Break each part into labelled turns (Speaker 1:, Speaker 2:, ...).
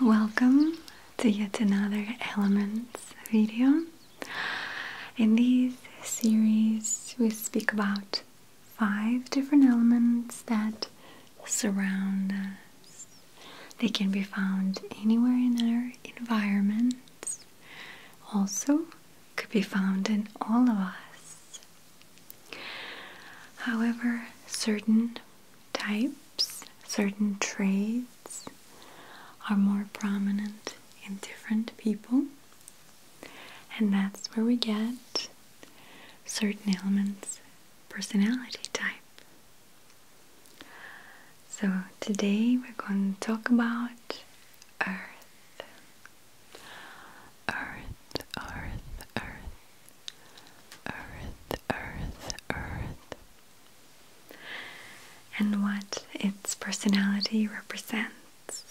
Speaker 1: Welcome to yet another Elements video. In this series, we speak about five different elements that surround us. They can be found anywhere in our environments, also, could be found in all of us. However, certain types, certain traits are more prominent in different people, and that's where we get certain elements personality type. So, today we're going to talk about Earth. Earth, earth, earth, earth, earth, earth. And what its personality represents.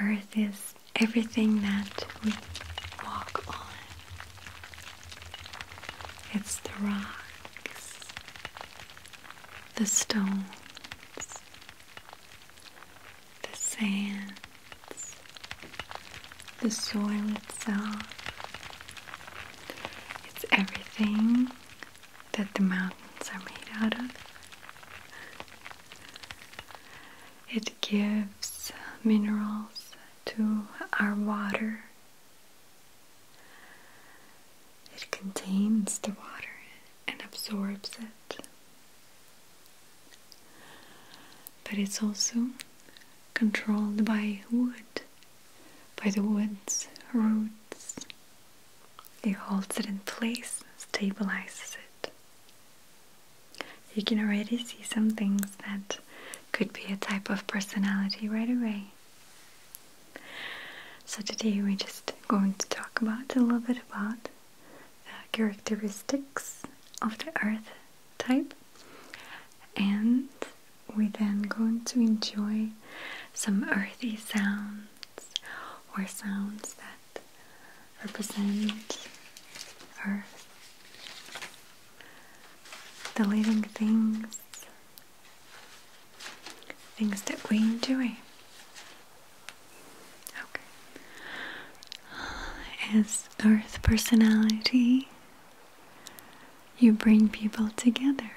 Speaker 1: Earth is everything that we walk on, it's the rocks, the stones the sands, the soil itself. It's everything that the mountains are made out of. It gives minerals to our water. It contains the water and absorbs it. But it's also controlled by wood, by the wood's roots. It holds it in place, stabilizes it. You can already see some things that could be a type of personality right away. So today we're just going to talk about a little bit about the characteristics of the earth type and we're then going to enjoy some earthy sounds or sounds that represent earth the living things things that we are doing. As Earth personality, you bring people together.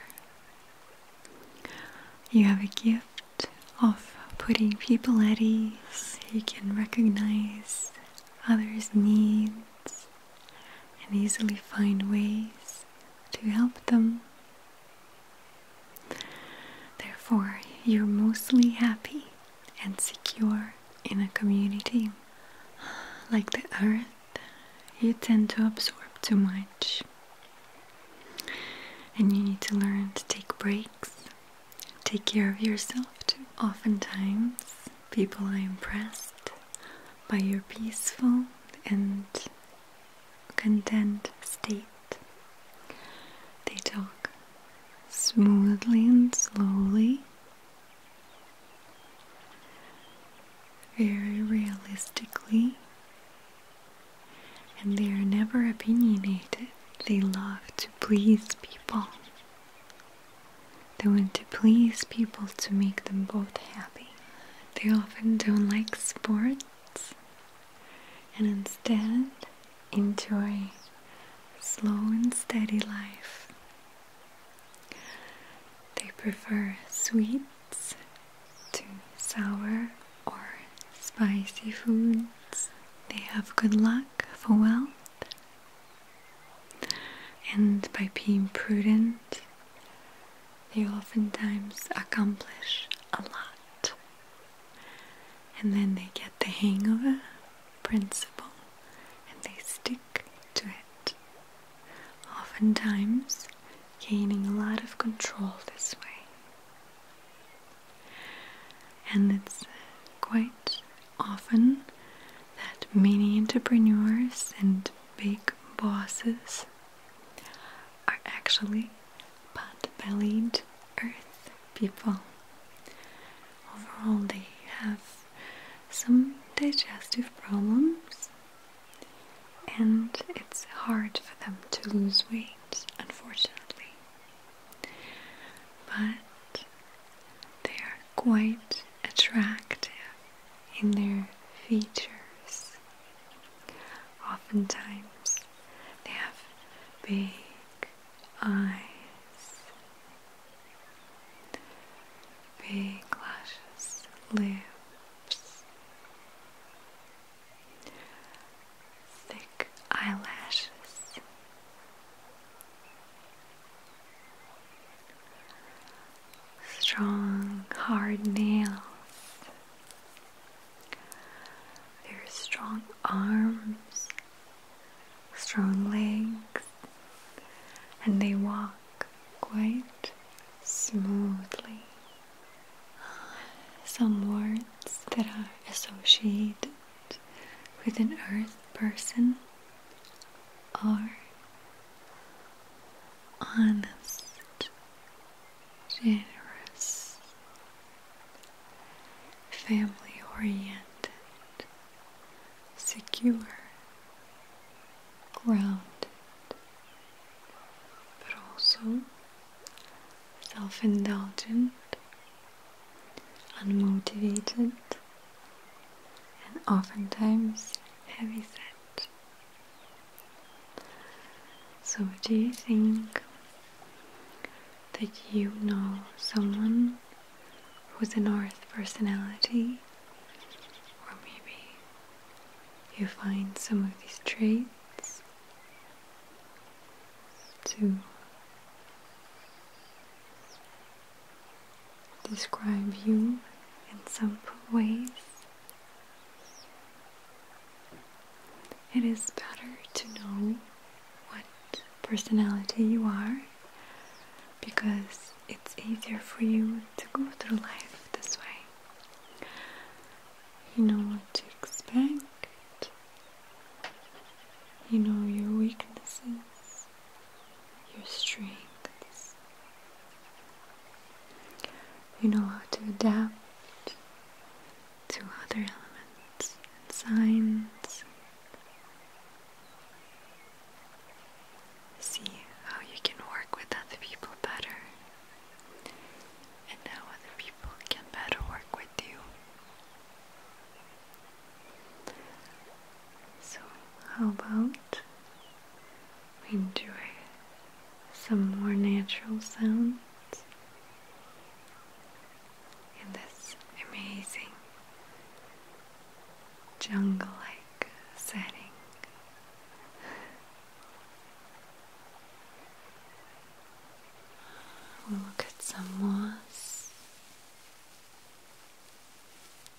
Speaker 1: You have a gift of putting people at ease. You can recognize others' needs and easily find ways to help them. Therefore, you're mostly happy and secure in a community. Like the earth, you tend to absorb too much. And you need to learn to take breaks, take care of yourself too. Oftentimes, people are impressed by your peaceful and content state. They talk smoothly and slowly, very realistically, and they are never opinionated. They love to please people. They want to please people to make them both happy. They often don't like sports and instead enjoy slow and steady life. They prefer sweets to sour or spicy foods. They have good luck for wealth. And by being prudent, they oftentimes accomplish a lot and then they get the hang of a principle and they stick to it. Oftentimes, gaining a lot of control this way. And it's uh, quite often that many entrepreneurs and big bosses are actually pot-bellied earth people. Overall, they have some digestive problems, and it's hard for them to lose weight, unfortunately. But they are quite attractive in their features Oftentimes they have big eyes, big lashes, lips, thick eyelashes strong, hard nails. Their strong arms, strong legs, and they walk quite smoothly. Some words that are associated with an earth person are honest, generous, family oriented, secure, grounded, but also self indulgent, unmotivated, and oftentimes heavy set. So, do you think that you know someone who's an earth personality? Or maybe you find some of these traits too? describe you in some ways. It is better to know what personality you are because it's easier for you to go through life this way. You know what to expect, you know your weaknesses, your strengths. You know how to adapt to other elements and signs. See how you can work with other people better, and how other people can better work with you. So, how about we enjoy some more natural sounds in this amazing jungle like setting? We'll look some moss